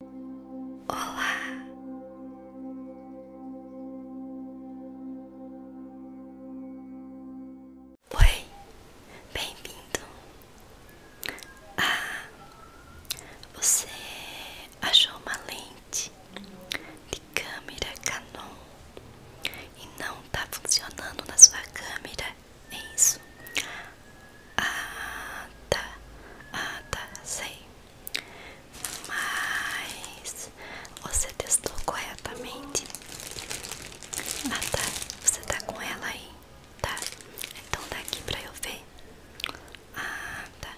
Olá. Oi, bem-vindo. Ah, você achou uma lente de câmera Canon e não tá funcionando na sua câmera, é isso? Ah, tá. Ah, tá. Sei. Mas você testou corretamente? Ah, tá. Você tá com ela aí? Tá. Então dá aqui pra eu ver. Ah, tá.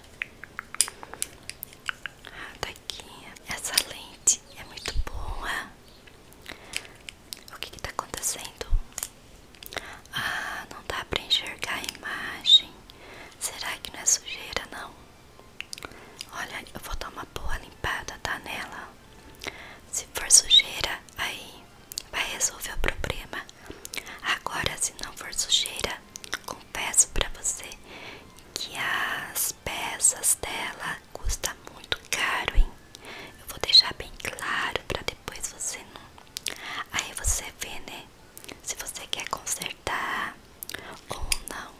Ah, tá Essa lente é muito boa. O que que tá acontecendo? Ah, não dá para enxergar a imagem. Será que não é sujeira, não? Olha, eu vou dar uma boa limpada, tá? Nela. Se for sujeira, aí vai resolver o problema. Agora, se não for sujeira, confesso para você que as peças dela custa muito caro, hein? Eu vou deixar bem claro para depois você não Aí você vê, né? Se você quer consertar ou não.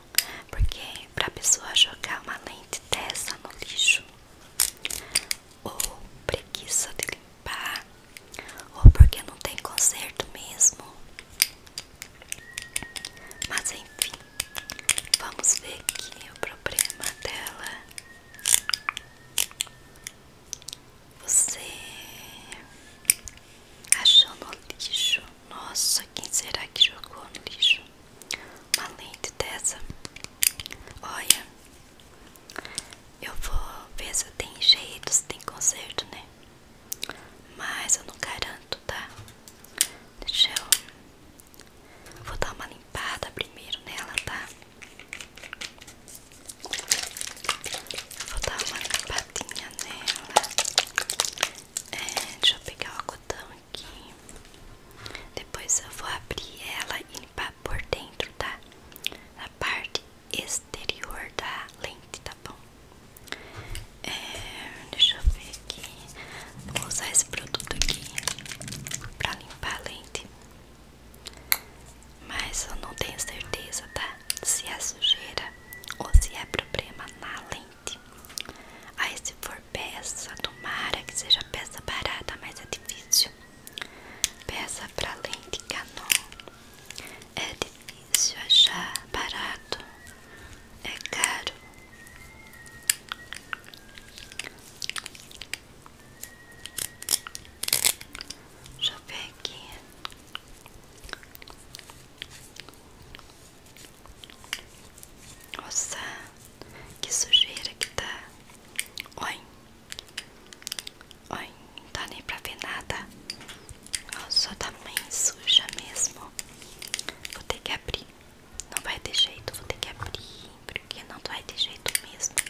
Porque pra pessoa jogar uma lente dessa no lixo, ou preguiça de limpar, ou porque não tem conserto mesmo. Mas enfim, vamos ver aqui o problema dela. Você achou no lixo? Nossa, quem será que jogou no lixo? Uma lente dessa? Olha, eu vou ver se tem jeito, se tem conserto, né? Mas eu não garanto, tá? Deixa eu. Vou dar uma limpada primeiro nela, tá? Vou dar uma limpadinha nela. É, deixa eu pegar o algodão aqui. Depois eu vou abrir ela e limpar por dentro, tá? A parte exterior da lente, tá bom? É, deixa eu ver aqui. Vou usar esse produto aqui pra limpar a lente. Mas eu não tenho certeza, tá? Se é sujeira ou se é problema na lente. Aí se for peça, tomara que seja peça barata, mas é difícil. Peça pra lente Canon. É difícil achar barato. É caro. Deixa eu ver aqui. Nossa, que sujeira que tá. Oi, oi, não tá nem pra ver nada. só tá bem suja mesmo. Vou ter que abrir. Não vai ter jeito, vou ter que abrir. Porque não vai ter jeito mesmo.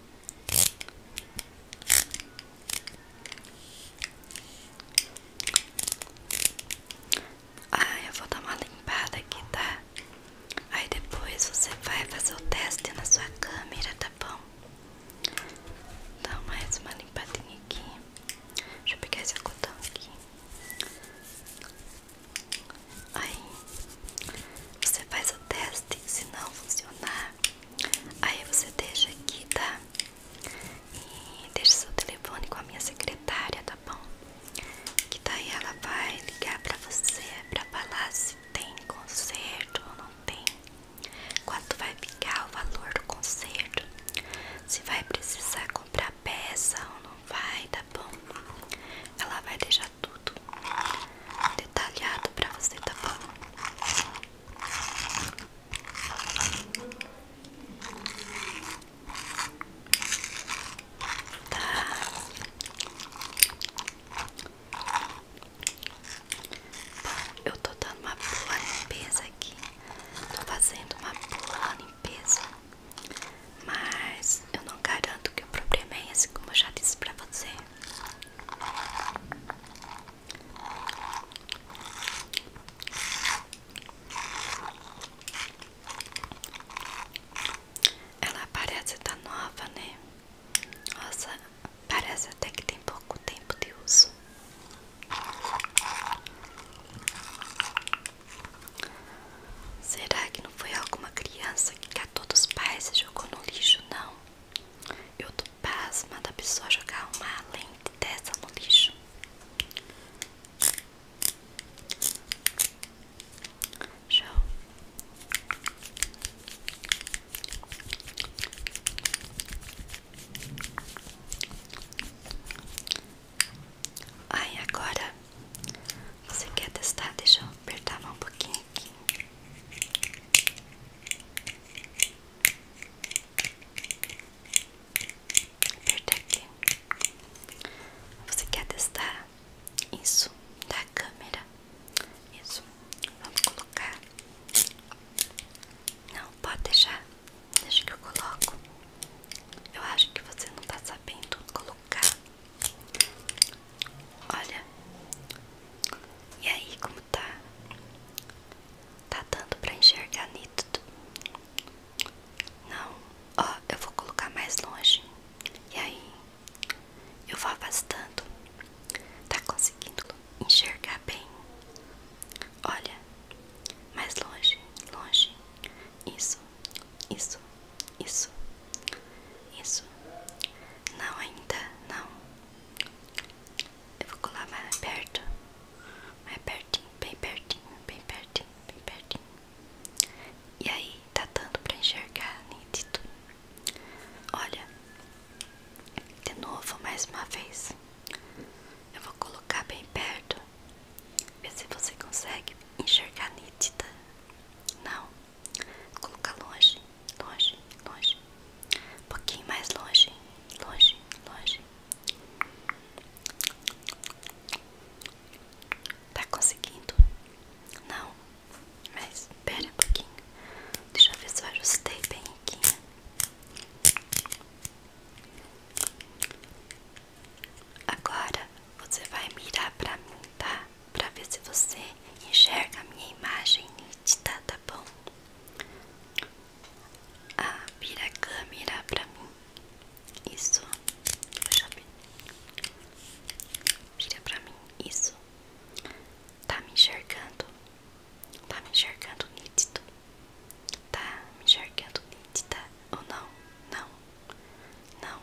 Ah, eu vou dar uma limpada aqui, tá? Aí depois você vai fazer o teste na sua câmera, tá bom? Dá mais uma limpadinha aqui. Deixa eu pegar esse algodão aqui. Aí, você faz o teste, se não funcionar, Aí você deixa aqui, tá? E deixa seu telefone com a minha secretária, tá bom? Que daí ela vai ligar pra você pra falar se tem concerto ou não tem. Quanto vai ficar o valor do concerto? Se vai precisar comprar peça ou não vai, tá bom? Ela vai deixar tudo detalhado pra você, tá bom? Tá. Bom, eu tô dando uma boa limpeza aqui. Tô fazendo uma boa limpeza. Mas eu não garanto que o problema é esse, como eu já disse pra você. Ela parece tá nova, né? Nossa, parece até que tem pouco tempo de uso. Será que não foi alguma criança que todos os pais se jogou no lixo, não. Eu tô pasma da pessoa jogar uma lente dessa no lixo. Show. Ai, agora você quer testar? Deixa eu apertar mais um pouquinho aqui. Aperta aqui. Você quer testar isso da câmera? Isso. Vamos colocar. Não, pode deixar. Deixa que eu coloco. Eu acho que você não está sabendo colocar Olha. E aí, como tá? Tá dando pra enxergar nítido? Não. Ó, eu vou colocar mais longe. E aí? Eu vou afastando. Tá conseguindo enxergar bem? Olha. Mais longe, longe. Isso, isso, isso. Isso. Não ainda, não. Eu vou colar mais perto. Mais pertinho, bem pertinho, bem pertinho, bem pertinho. E aí, tá dando pra enxergar nítido. Olha. De novo, mais uma vez. Eu vou colocar bem perto. Ver se você consegue enxergar nítida. Não. Colocar longe, longe, longe. Um pouquinho mais longe, longe, longe. Tá conseguindo? Não, mas espera um pouquinho. Deixa eu ver se eu ajustei bem aqui. Né? Agora você vai mirar pra mim, tá? Pra ver se você enxerga a minha imagem nítida, tá bom? Ah, vira a câmera pra mim. Isso. Deixa eu ver. Vira pra mim. Isso. Tá me enxergando? Tá me enxergando nítido? Tá me enxergando nítida tá? ou não? Não. Não.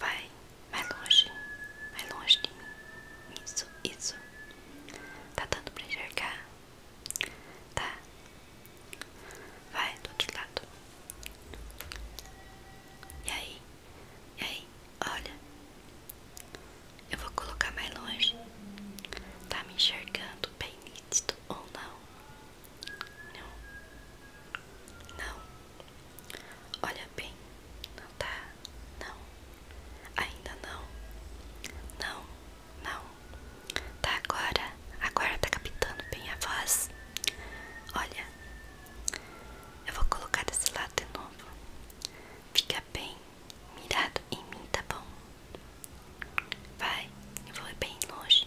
Vai, mais longe. mais longe de mim. Isso, isso. Tá dando pra enxergar? Tá. Vai do outro lado. E aí? E aí? Olha. Eu vou colocar mais longe. Tá me enxergando bem nítido ou não? Não. Não. Olha bem. Não tá? Não. Ainda não. Não. Não. Tá agora. Agora tá captando bem a voz. Olha. Eu vou colocar desse lado de novo. Fica bem mirado em mim, tá bom? Vai, eu vou bem longe.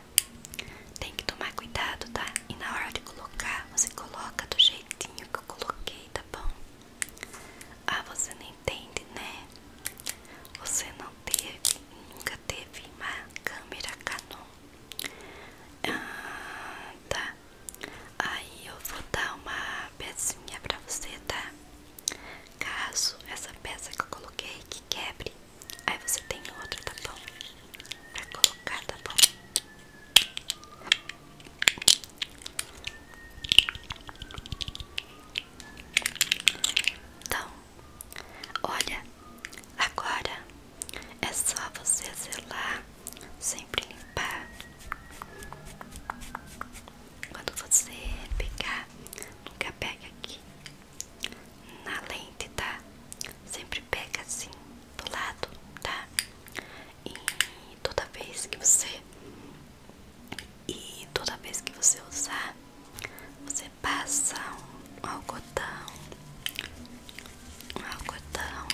tem que tomar cuidado, tá? E na hora de colocar, você coloca do jeitinho que eu coloquei, tá bom? Ah, você não entende, né? Você não teve, nunca teve uma câmera Canon. Ah, tá. Aí eu vou dar uma pezinha pra você, tá? Caso essa peça que eu coloquei que quebre, Aí você tem outro, tá bom? Vai colocar, tá bom? Então, olha, agora é só você zelar, sempre limpar. Quando você pegar, nunca pegue aqui na lente, tá? Sempre pega assim do lado, tá? E toda vez que você e toda vez que você usar, você passa um algodão, um algodão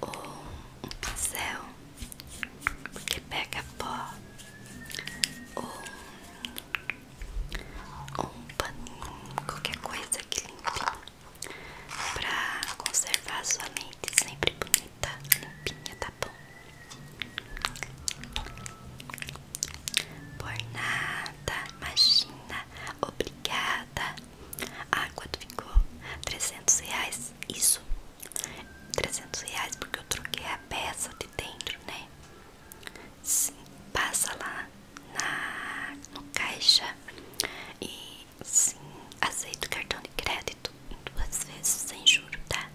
ou um pincel que pega pó ou um paninho, qualquer coisa que limpe pra conservar sua mente sempre bonita, limpinha, tá bom? Por nada, imagina, obrigada. Ah, quanto ficou? 300 reais, isso, 300 reais porque eu troquei a peça de dentro, né? Sim, passa lá na, no caixa e sim, aceito cartão de crédito duas vezes sem juro, tá?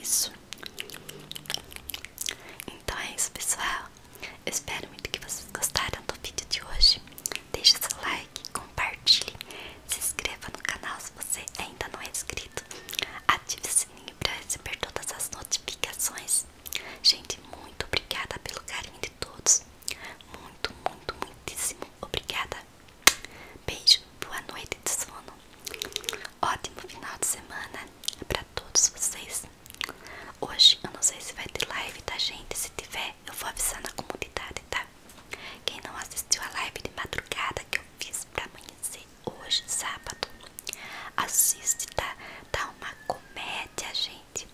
Isso. Então é isso, pessoal. espero muito que vocês gostaram do vídeo de hoje. Deixe seu like, compartilhe, se inscreva no canal se você ainda não é inscrito, ative o sininho sininho para receber todas as notificações. Gente, muito obrigada pelo carinho de todos. Muito, muito, muitíssimo obrigada. Beijo, boa noite de sono. Ótimo final de semana para todos vocês. Hoje eu não sei se vai ter live, da tá, gente? Se tiver, eu vou avisar na comunidade, tá? Quem não assistiu a live de madrugada que eu fiz pra amanhecer, hoje, sábado. Assiste, tá? Tá uma comédia, gente.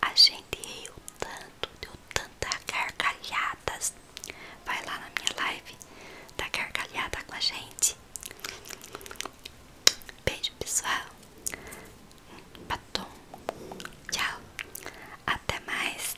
A gente riu tanto, deu tanta gargalhadas. Vai lá na minha live, dá gargalhada com a gente. Beijo, pessoal. Batom. Tchau. Até mais.